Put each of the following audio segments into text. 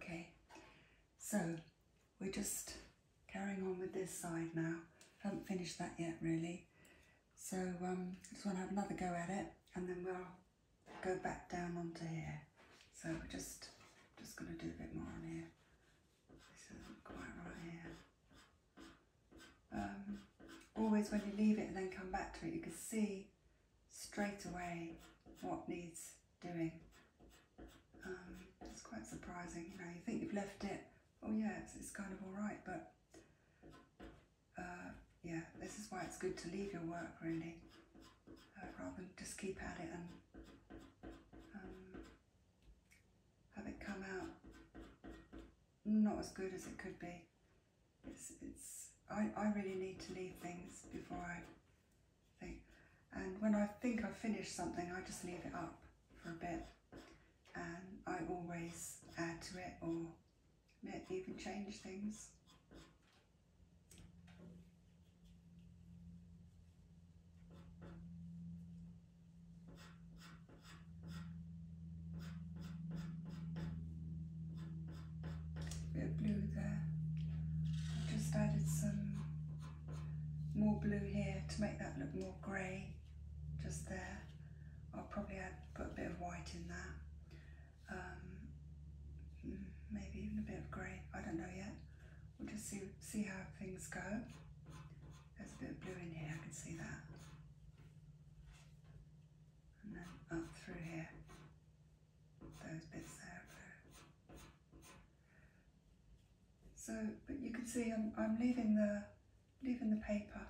Okay, so we're just carrying on with this side now. Haven't finished that yet really. So I um, just want to have another go at it and then we'll go back down onto here. So we're just, just going to do a bit more on here. This isn't quite right here. Um, always when you leave it and then come back to it, you can see straight away what needs doing. Um, it's quite surprising, you know, you think you've left it, oh yeah, it's, kind of alright, but uh, yeah, this is why it's good to leave your work really, uh, rather than just keep at it and um, have it come out not as good as it could be. It's, it's, I, I really need to leave things before I think. And when I think I've finished something, I just leave it up for a bit. And I always add to it or maybe even change things. Bit blue there. I've just added some more blue here to make that look more grey just there. I'll probably add, put a bit of white in there um, mm, maybe even a bit of grey. I don't know yet. We'll just see see how things go. There's a bit of blue in here. I can see that, and then up through here. Those bits there So, but you can see I'm I'm leaving the leaving the paper.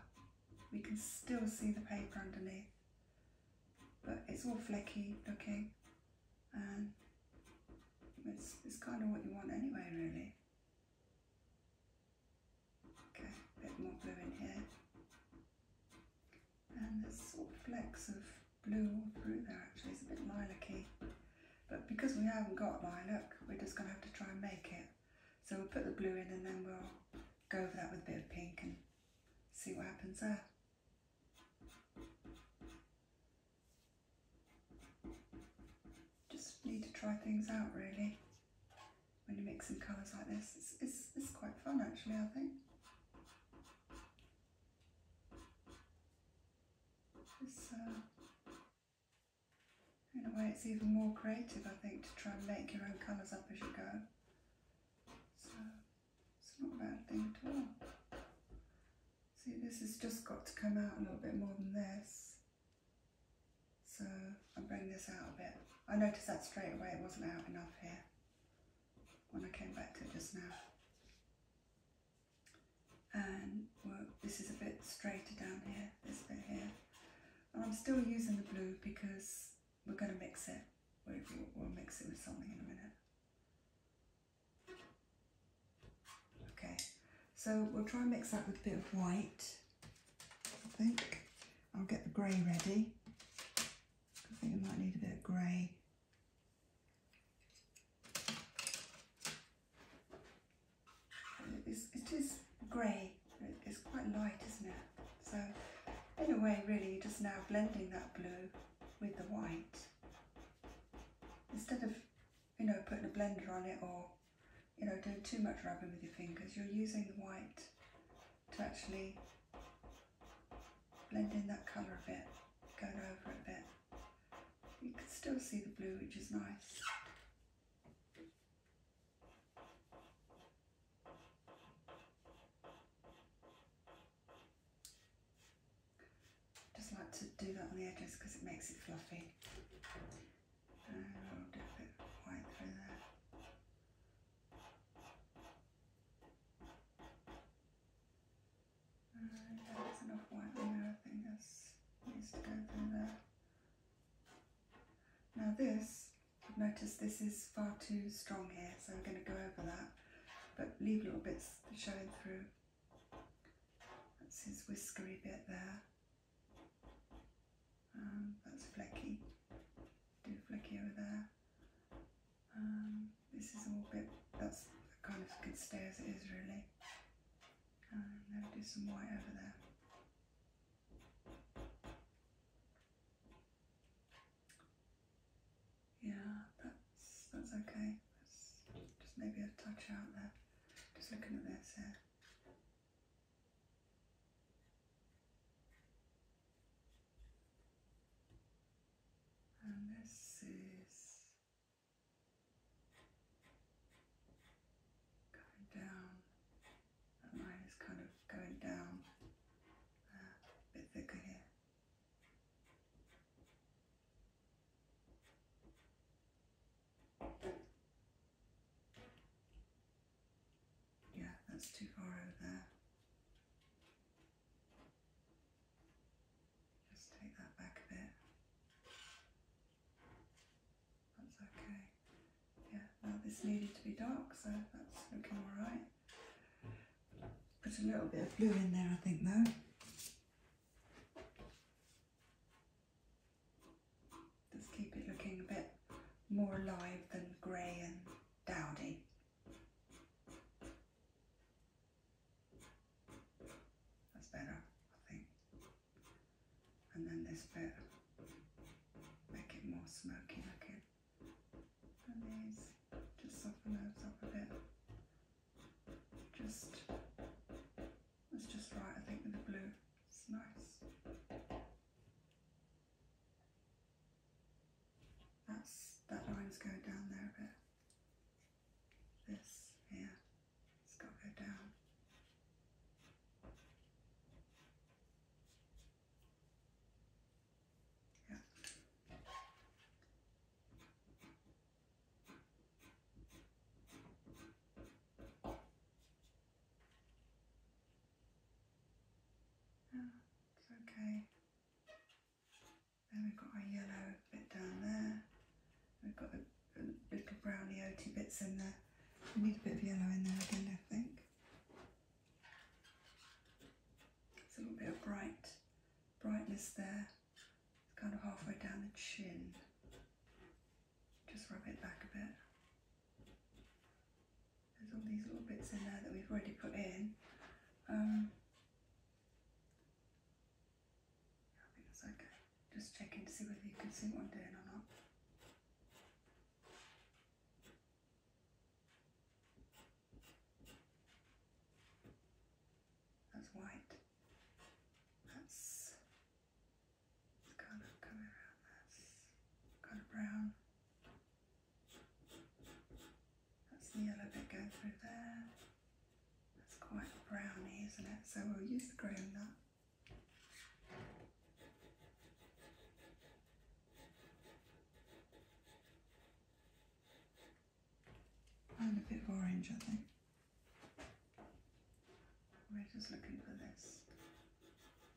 We can still see the paper underneath but it's all flecky looking and it's, it's kind of what you want anyway really. Okay, a bit more blue in here and there's sort of flecks of blue through there actually, it's a bit lilac-y but because we haven't got lilac we're just going to have to try and make it so we'll put the blue in and then we'll go over that with a bit of pink and see what happens there. Just need to try things out really when you mix mixing colours like this. It's, it's, quite fun actually, I think. Uh, in a way it's even more creative, I think, to try and make your own colours up as you go. It's not a bad thing at all. See, this has just got to come out a little bit more than this. So I'll bring this out a bit. I noticed that straight away, it wasn't out enough here when I came back to it just now. And well, this is a bit straighter down here, this bit here. And I'm still using the blue because we're going to mix it we'll, mix it with something in a minute. Okay, so we'll try and mix that with a bit of white, I think. I'll get the grey ready. I think I might need a bit of grey. it is grey. It's quite light, isn't it? So in a way, really, just now blending that blue with the white. Instead of, you know, putting a blender on it or, you know, doing too much rubbing with your fingers, you're using the white to actually blend in that colour a bit, going over it a bit. You can still see the blue, which is nice. Just like to do that on the edges because it makes it fluffy. So i a bit of white through there. And that's enough white I think this needs to go through there. Now this I've noticed this is far too strong here, so I'm going to go over that, but leave little bits showing through. That's his whiskery bit there. Um, that's flecky. Do flecky over there. Um, this is all bit, that's kind of good. stay as it is really. Um, then do some white over there. Yeah, that's that's okay. That's just maybe a touch out there. Just looking at this here. And this is going down. That line is kind of going down a bit thicker here. Yeah, that's too far over there. Just take that back a bit. That's okay. Yeah, now this needed to be dark, so that's looking alright. Put a little bit of blue in there, I think, though. Just keep it looking a bit more alive than grey and dowdy. That's better, I think. And then this bit, make it more smoky looking from these just soften those up a bit. Just it's just right, I think, with the blue. It's nice. That's that line's going down there a bit. This here, it's got to go down. Yeah. Oh, it's okay. Then we've got our yellow bit down there. We've got the little brownie oaty bits in there. We need a bit of yellow in there again, I think. There's a little bit of bright brightness there, it's kind of halfway down the chin. Just rub it back a bit. There's all these little bits in there that we've already put in. Um, I think that's okay. Just checking to see whether you can see what I'm doing or not. That's white. That's kind of coming around. That's kind of brown. That's the yellow bit going through there. That's quite browny, isn't it? So we'll use the green nut. And a bit of orange, I think. We're just looking for this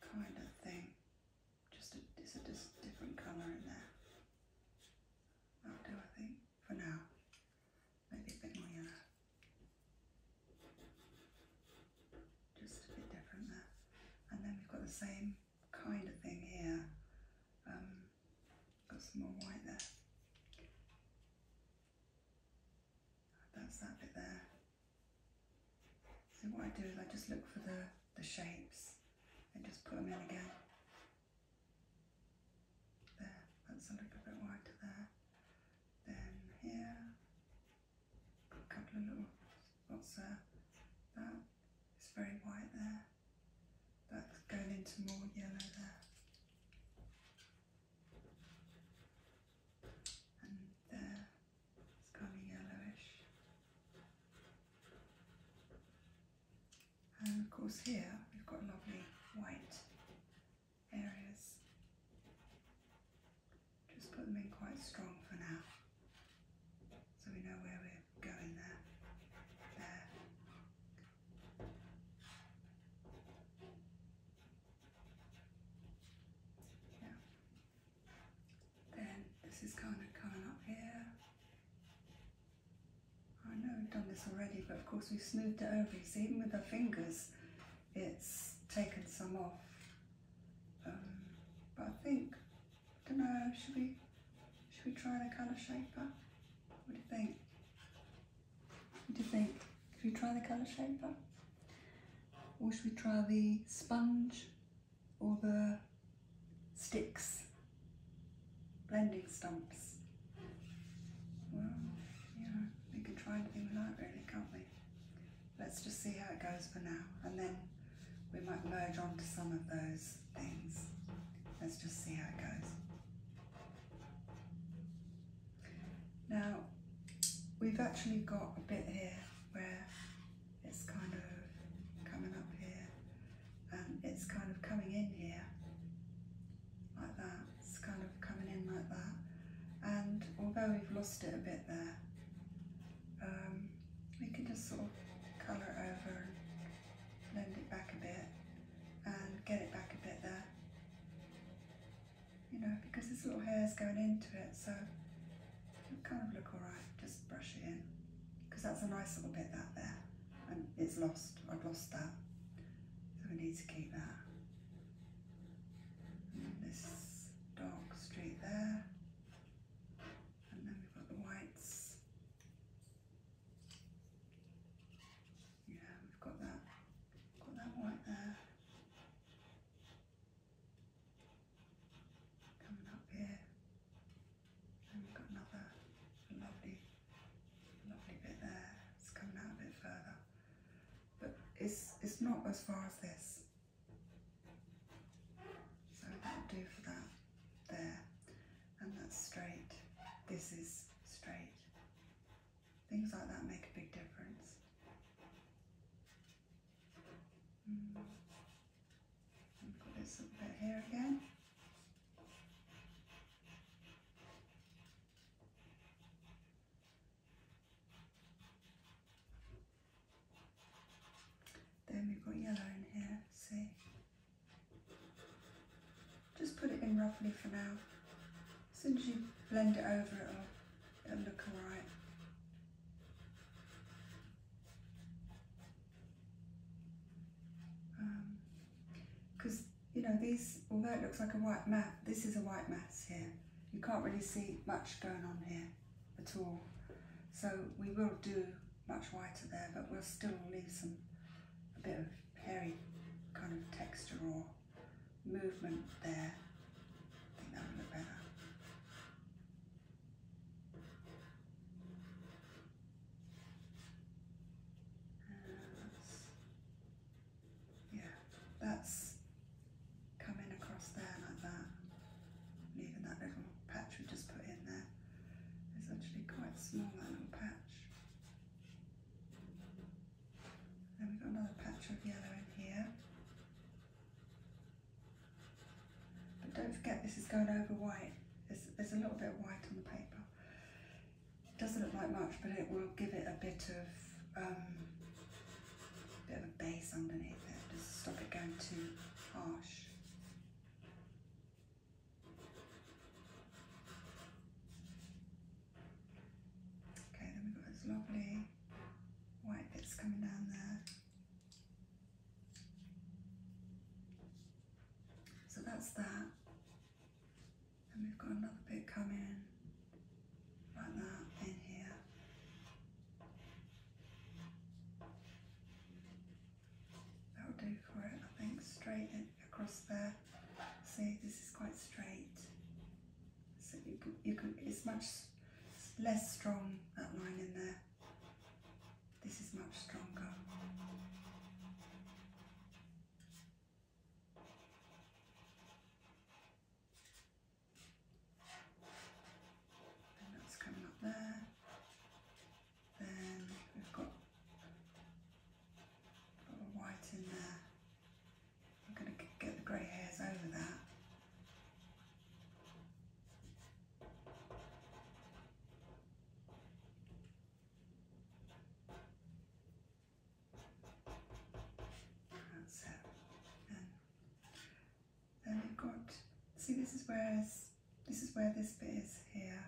kind of thing. Just a, it's a just different colour in there. that do, I think, for now. Maybe a bit more yellow. Just a bit different there. And then we've got the same kind of thing here. Um, got some more white there. That's that bit there. So what I do is I just look for the, the shapes and just put them in again. There, that's a little bit wider there. Then here, a couple of little What's that? That is very white there. That's going into more yellow there. And there, kind of yellowish. And of course here, we've got lovely white areas. Just put them in quite strong for now so we know where we're going there. Yeah. Then this is kind of coming up here. I know we've done this already, but of course we've smoothed it over. You even with our fingers, it's taken some off. Um, I think don't know, should we, should we try the colour shaper? What do you think? What do you think? Should we try the colour shaper? Or should we try the sponge or the sticks? Blending stumps. Well, yeah, we could try anything we like really, can't we? let's just see how it goes for now and then we might merge onto some of those things. Let's just see how it goes. Now, we've actually got a bit here where it's kind of coming up here and um, it's kind of coming in here like that. It's kind of coming in like that. And although we've lost it a bit there, um, we can just sort of colour over and blend it back a bit and get it back a bit there. You know, because there's little hair's going into it, so it'll kind of look alright, just brush it in. Because that's a nice little bit that there, and it's lost, I've lost that. So we need to keep that. this dark street there. And then we've got the whites. Yeah, we've got that, got that white there. Coming up here. And we've got another lovely, lovely bit there. It's coming out a bit further. But it's, it's not as far as this. So that it do for that there, and that's straight. This is straight. Things like that make a big difference. Mm. Put this up bit here again. Then we've got yellow in here, see? Just put it in roughly for now. As soon as you blend it over, it'll, look alright. Because, um, you know, these, although it looks like a white mass, this is a white mass here. You can't really see much going on here at all. So we will do much whiter there, but we'll still leave some, a bit of hairy kind of texture or movement there. I think that would look better. Uh, yeah, that's come across there like that, leaving that little patch we just put in there. It's actually quite small, that little patch. Then we've got another patch of yellow in here. But don't forget this is going over white. There's, a little bit of white on the paper. It doesn't look like much, but it will give it a bit of um, bit of a base underneath there just stop it going too harsh. Okay, then we've got those lovely white bits coming down there. So that's that. And we've got another bit coming like that in here. That'll do for it, I think. Straight across there. See, this is quite straight. So you can, you could, it's much less strong, that line in there. This is much stronger. And that's coming up there. Then we've got a lot of white in there. I'm going to get the grey hairs over that. Then we've got, see this is where, this is where this bit is here.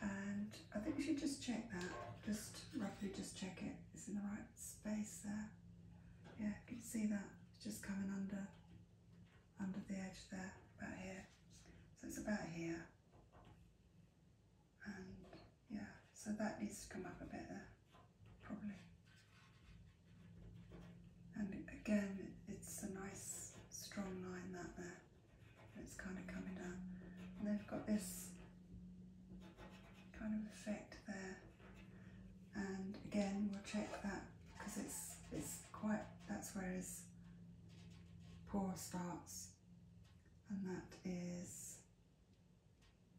And I think we should just check that, just roughly just check it. It's in the right space there. Yeah, you can see that, it's just coming under, under the edge there, about here. So it's about here. And yeah, so that needs to come up a bit there probably. And again, it's a nice strong line that there. It's kind of coming down. And they've got this kind of effect there. And again, we'll check that because it's it's quite that's where his paw starts, and that is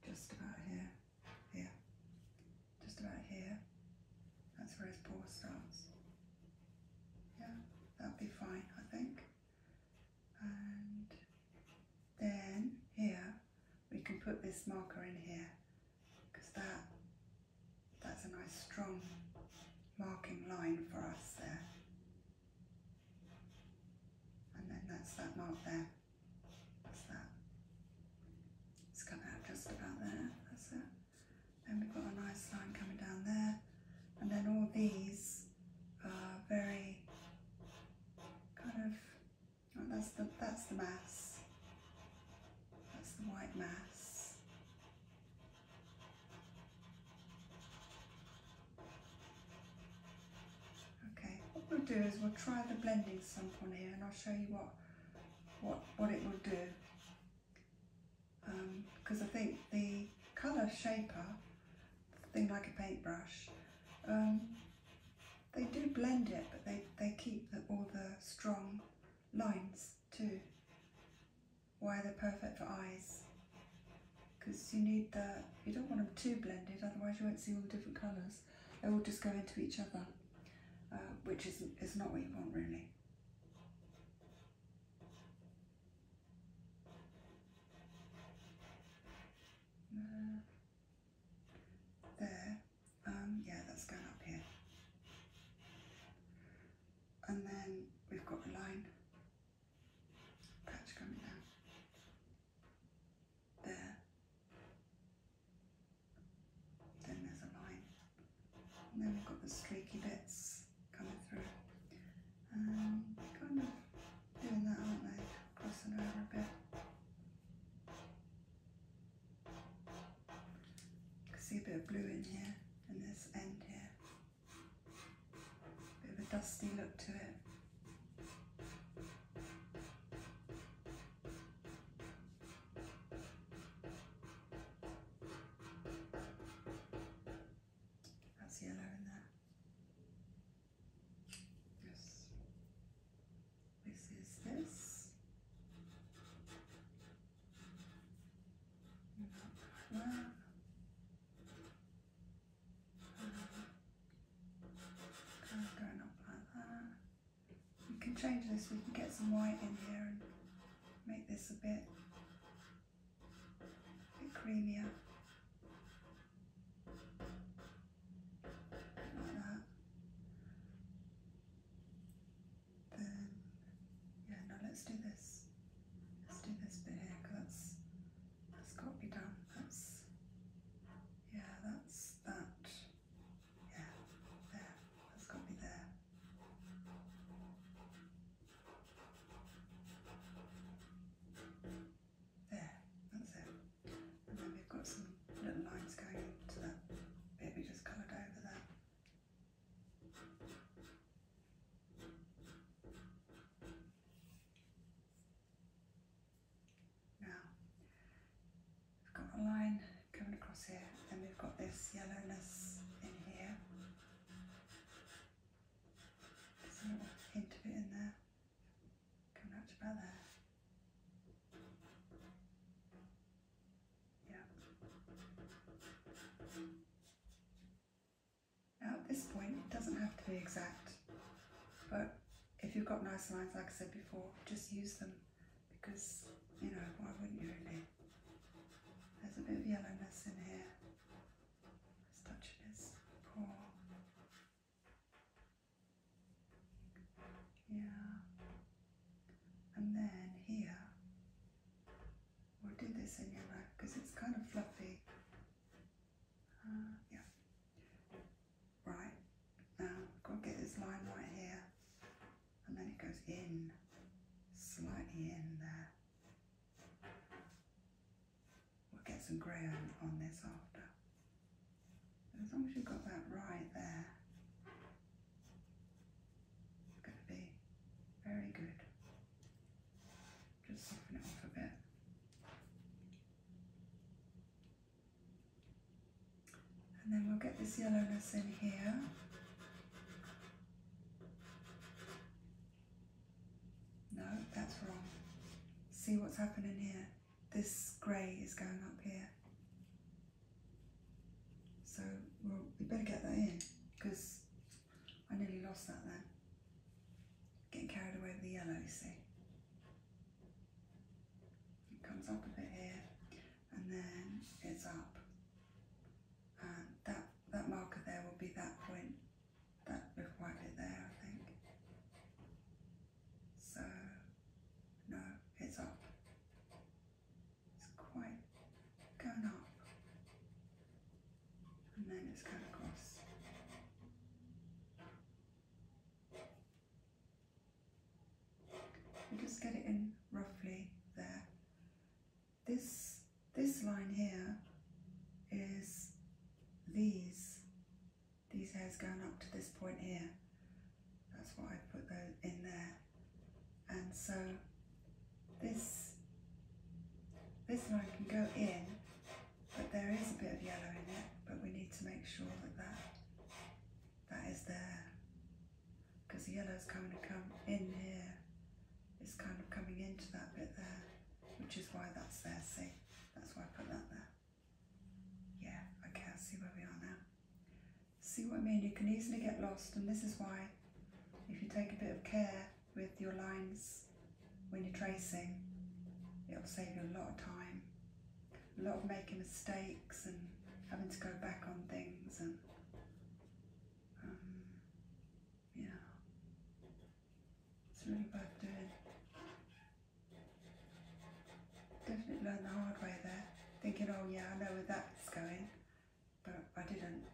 just about here here, just about here. That's where his paw starts. Yeah, that'll be fine, I think. And then here, we can put this marker in here because that that's a nice strong marking line for us there. And then that's that mark there that. It's come out just about there. That's it. Then we've got a nice line coming down there. And then all these are very kind of oh, that's the that's the mass. That's the white mass. Okay, what we'll do is we'll try the blending stamp on here and I'll show you what what, what it will do. Because um, I think the colour shaper, thing like a paintbrush, um, they do blend it, but they, they keep all the strong lines too. Why they're perfect for eyes. Because you need the, you don't want them too blended, otherwise you won't see all the different colours they will just go into each other, uh, which is, is not what you want really. Uh, there, um, yeah, that's going up here. And then we've got a line patch coming down. There. Then there's a line. And then we've got the streaky bits coming through. Um, kind of doing that, aren't they? Crossing over a bit. see a bit of blue in here and this end here. bit of a dusty look to it. That's yellow in there. Yes. This is this. Wow. Kind of going up like that. We can change this, we can get some white in here and make this a bit, bit creamier. Like that. Then, yeah, now let's do this. Let's do this bit here, because that's, that's got to be done. That's, yeah, that's that. Yeah, there. That's got to be there. There, that's it. And then we've got some little lines going into that bit we just coloured over there. Now, we've got a line coming across here, and we've got this yellowness in here. There's a little hint of it in there, coming out about there. Now at this point it doesn't have to be exact, but if you've got nice lines like I said before, just use them because you know why wouldn't you really? There's a bit of yellowness in here. It's touching his paw. Yeah. And then here, we'll do this in your yellow because it's kind of fluffy. Uh, yeah right now I've got to get this line right here and then it goes in slightly in there we'll get some grey on, this after as long as you've got that right there it's going to be very good just soften it off a bit and then we'll get this yellowness in here. No, that's wrong. See what's happening here? This grey is going up here. So we better get that in because I nearly lost that there. Getting carried away with the yellow, it comes up a bit here and then it's up. And that, that marker there will be that point that we've it there, I think. So, no, it's up. It's quite going up. And then it's going across and just get it in roughly there. This, this line here is these, these hairs going up to this point here. That's why I put those in there. And so this, this line can go in, but there is a bit of yellow in it, but we need to make sure that that that is there because the yellow is kind of come in here it's kind of coming into that bit there which is why that's there see that's why I put that there yeah okay I see where we are now see what I mean you can easily get lost and this is why if you take a bit of care with your lines when you're tracing it'll save you a lot of time a lot of making mistakes and having to go back on things and um, yeah it's really worth doing definitely learned the hard way there thinking oh yeah I know where that's going but I didn't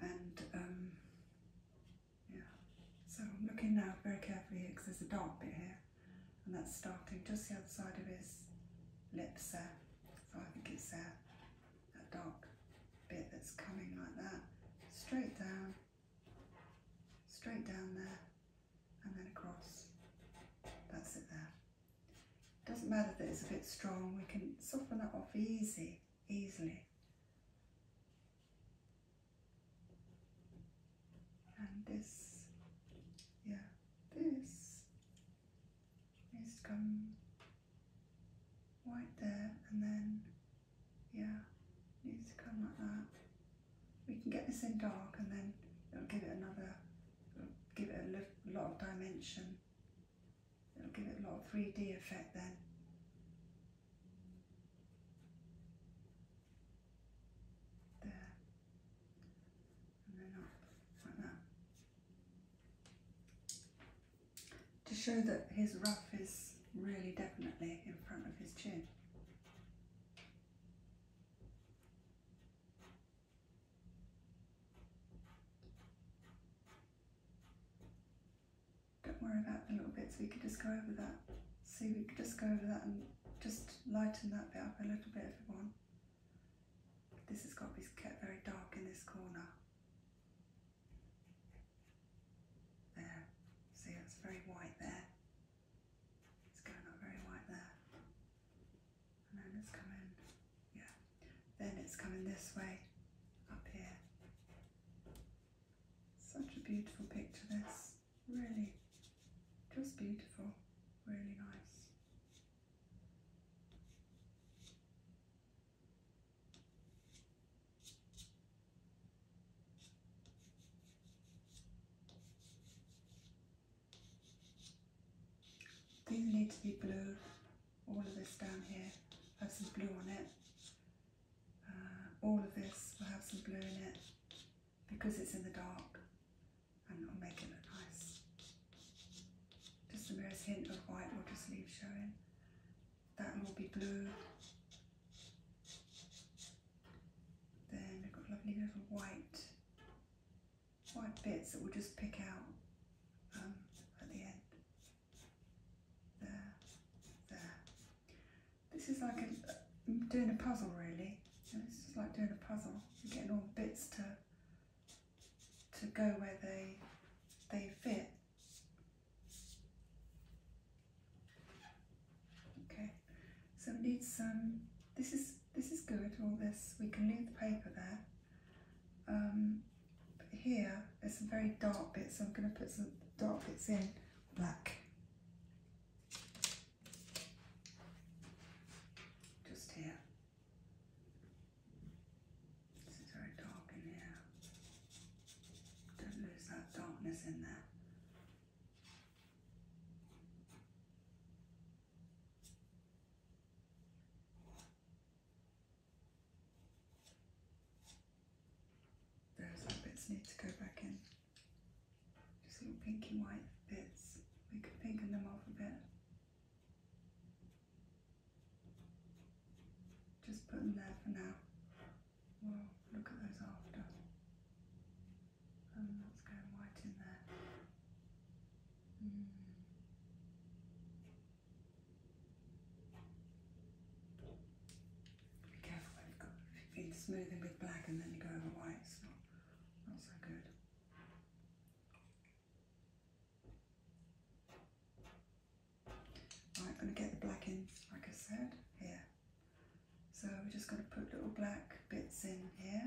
and um, yeah so I'm looking now very carefully because there's a dark bit here and that's starting just the other side of his lips there. So I think it's there, that dark bit that's coming like that, straight down, straight down there, and then across. That's it there. Doesn't matter that it's a bit strong, we can soften that off easy, easily and this yeah this needs to come right there and then yeah needs to come like that we can get this in dark and then it'll give it another give it a lot of dimension it'll give it a lot of 3d effect then there, and then up like that. To show that his ruff is really definitely in front of his chin. Don't worry about the little bits, we could just go over that. See, we could just go over that and just lighten that bit up a little bit if you want. This has got to be kept very dark in this corner. There, see it's very white there. It's going up very white there. And then it's coming, yeah. Then it's coming this way, up here. Such a beautiful picture this. Really just beautiful, really nice. These need to be blue, all of this down here has some blue on it. Uh, all of this will have some blue in it because it's in the dark I'm not making it nice. Just the merest hint of white will just leave showing. That will be blue. Then we've got lovely little white, white bits that we'll just pick out um, at the end. There, there. This is like a, um, doing a puzzle really. It's like doing a puzzle, getting all the bits to to go where they they fit. Okay, so we need some. This is this is good. All this we can leave the paper there. Um, but here there's some very dark bits. So I'm going to put some dark bits in black. Just here. This is very dark in here. Don't lose that darkness in there. Those bits need to go back in. Just little pinky white bits. We can pinken them off a bit. Just put them there for now. we look at those after. Um, that's going white in there. Mm. Be careful when you've got if you feed smoothing with black and then you go over white, it's not, not so good. Right, I'm going to get the black in, like I said, here. So we're just going to put little black bits in here.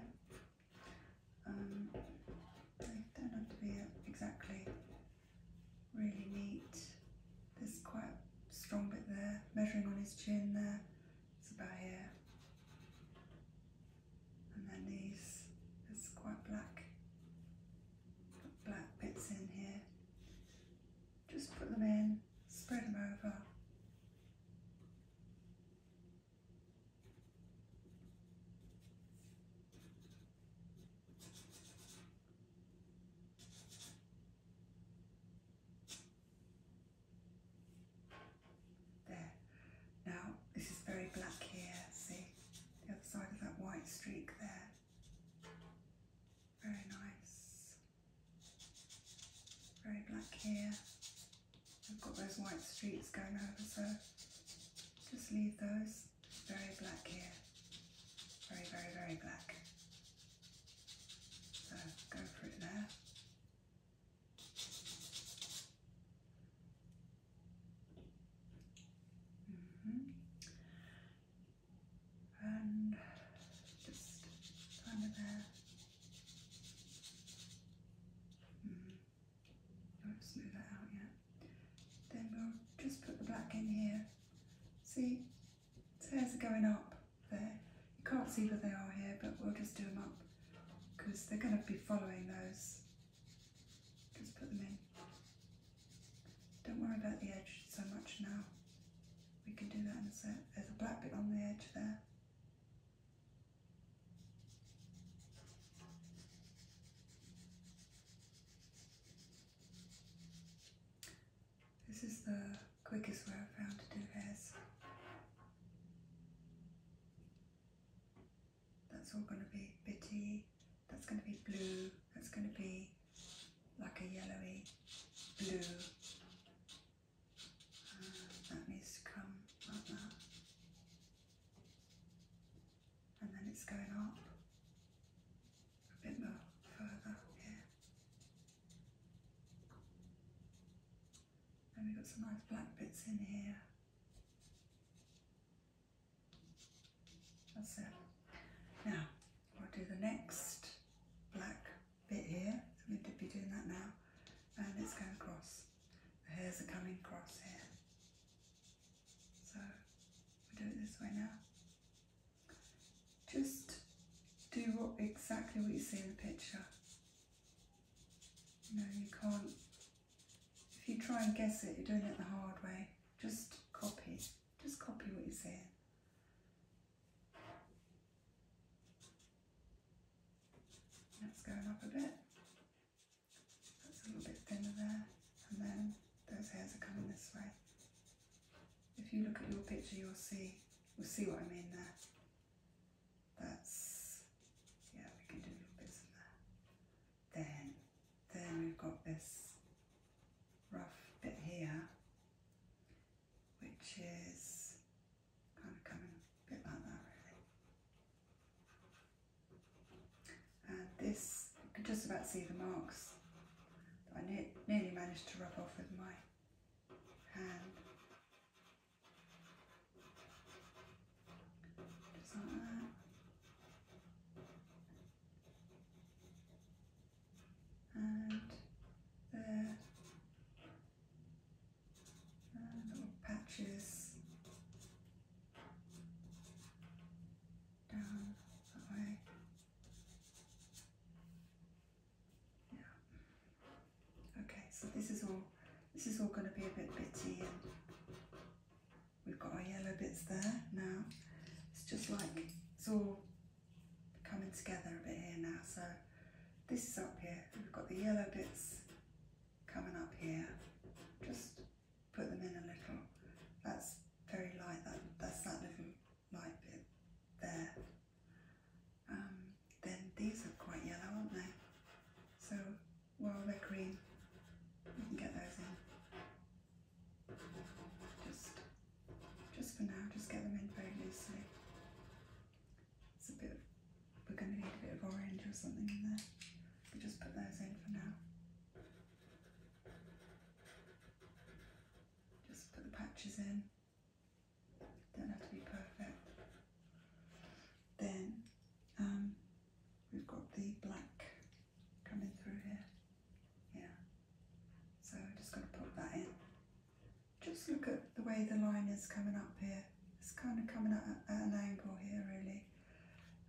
Um, they don't have to be exactly really neat. There's quite a strong bit there, measuring on his chin there, it's about here. And then these, it's quite black. black bits in here. Just put them in, spread them over. There. Now, this is very black here, see? The other side of that white streak there. Very nice. Very black here. I've got those white streaks going over, so just leave those. Very black here. Very, very, very black. So go through there. Mm-hmm. And just under there. Mm-hmm. Don't smooth that out yet. Then we'll just put the black in here. See, stairs are going up there. You can't see where they are here, but we'll just do them up because they're going to be following those. Just put them in. Don't worry about the edge so much now. We can do that in a sec. There's a black bit on the edge there. This is the quickest way i found to do this. That's all going to be bitty, that's going to be blue, that's going to be like a yellowy blue. Uh, that needs to come like that. And then it's going up a bit more further here. And we've got some nice black bits in here. That's it. Now, I'll do the next black bit here. So we to be doing that now. And it's going across. The hairs are coming across here. So, we do it this way now. Just do exactly what you see in the picture. You you can't, if you try and guess it, you're doing it the hard way. Just copy, just copy what you see. That's going up a bit. That's a little bit thinner there. And then those hairs are coming this way if you look at your picture you'll see you'll see what I mean there. That's yeah, we can do little bits in there. Then then we've got this rough bit here which is kind of coming a bit like that really. And this you can just about see the marks that I nearly managed to rub off with my have just like that. And there, uh, little patches down that way. Yeah. Okay, so this is all this is all going to be a bit bitty and we've got our yellow bits there now. It's just like it's all coming together a bit here now. So this is up here. We've got the yellow bits coming up here. Just put them in a little. That's very light. That that's that little might be there. Um, then these are quite yellow, aren't they? So while they're green, we can get those in. Just, just for now, just get them in very loosely. It's a bit. we're going to need a bit of orange or something in there. We just put those in for now. Just put the patches in. Don't have to be perfect. Then um, we've got the black coming through here. Yeah. So I'm just going to put that in. Just look at the way the line is coming up here. It's kind of coming at an angle here really.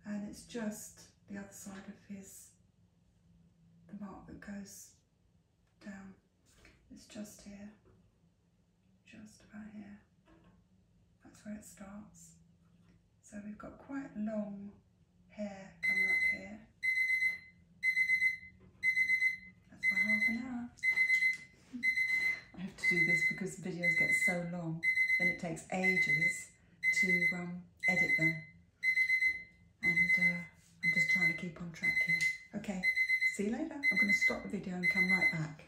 And it's just the other side of his, the mark that goes down it's just here, just about here. That's where it starts. So we've got quite long hair coming up here. That's about half an hour. I have to do this because videos get so long and it takes ages to um, edit them. And uh, I'm just trying to keep on track here. Okay, see you later. I'm going to stop the video and come right back.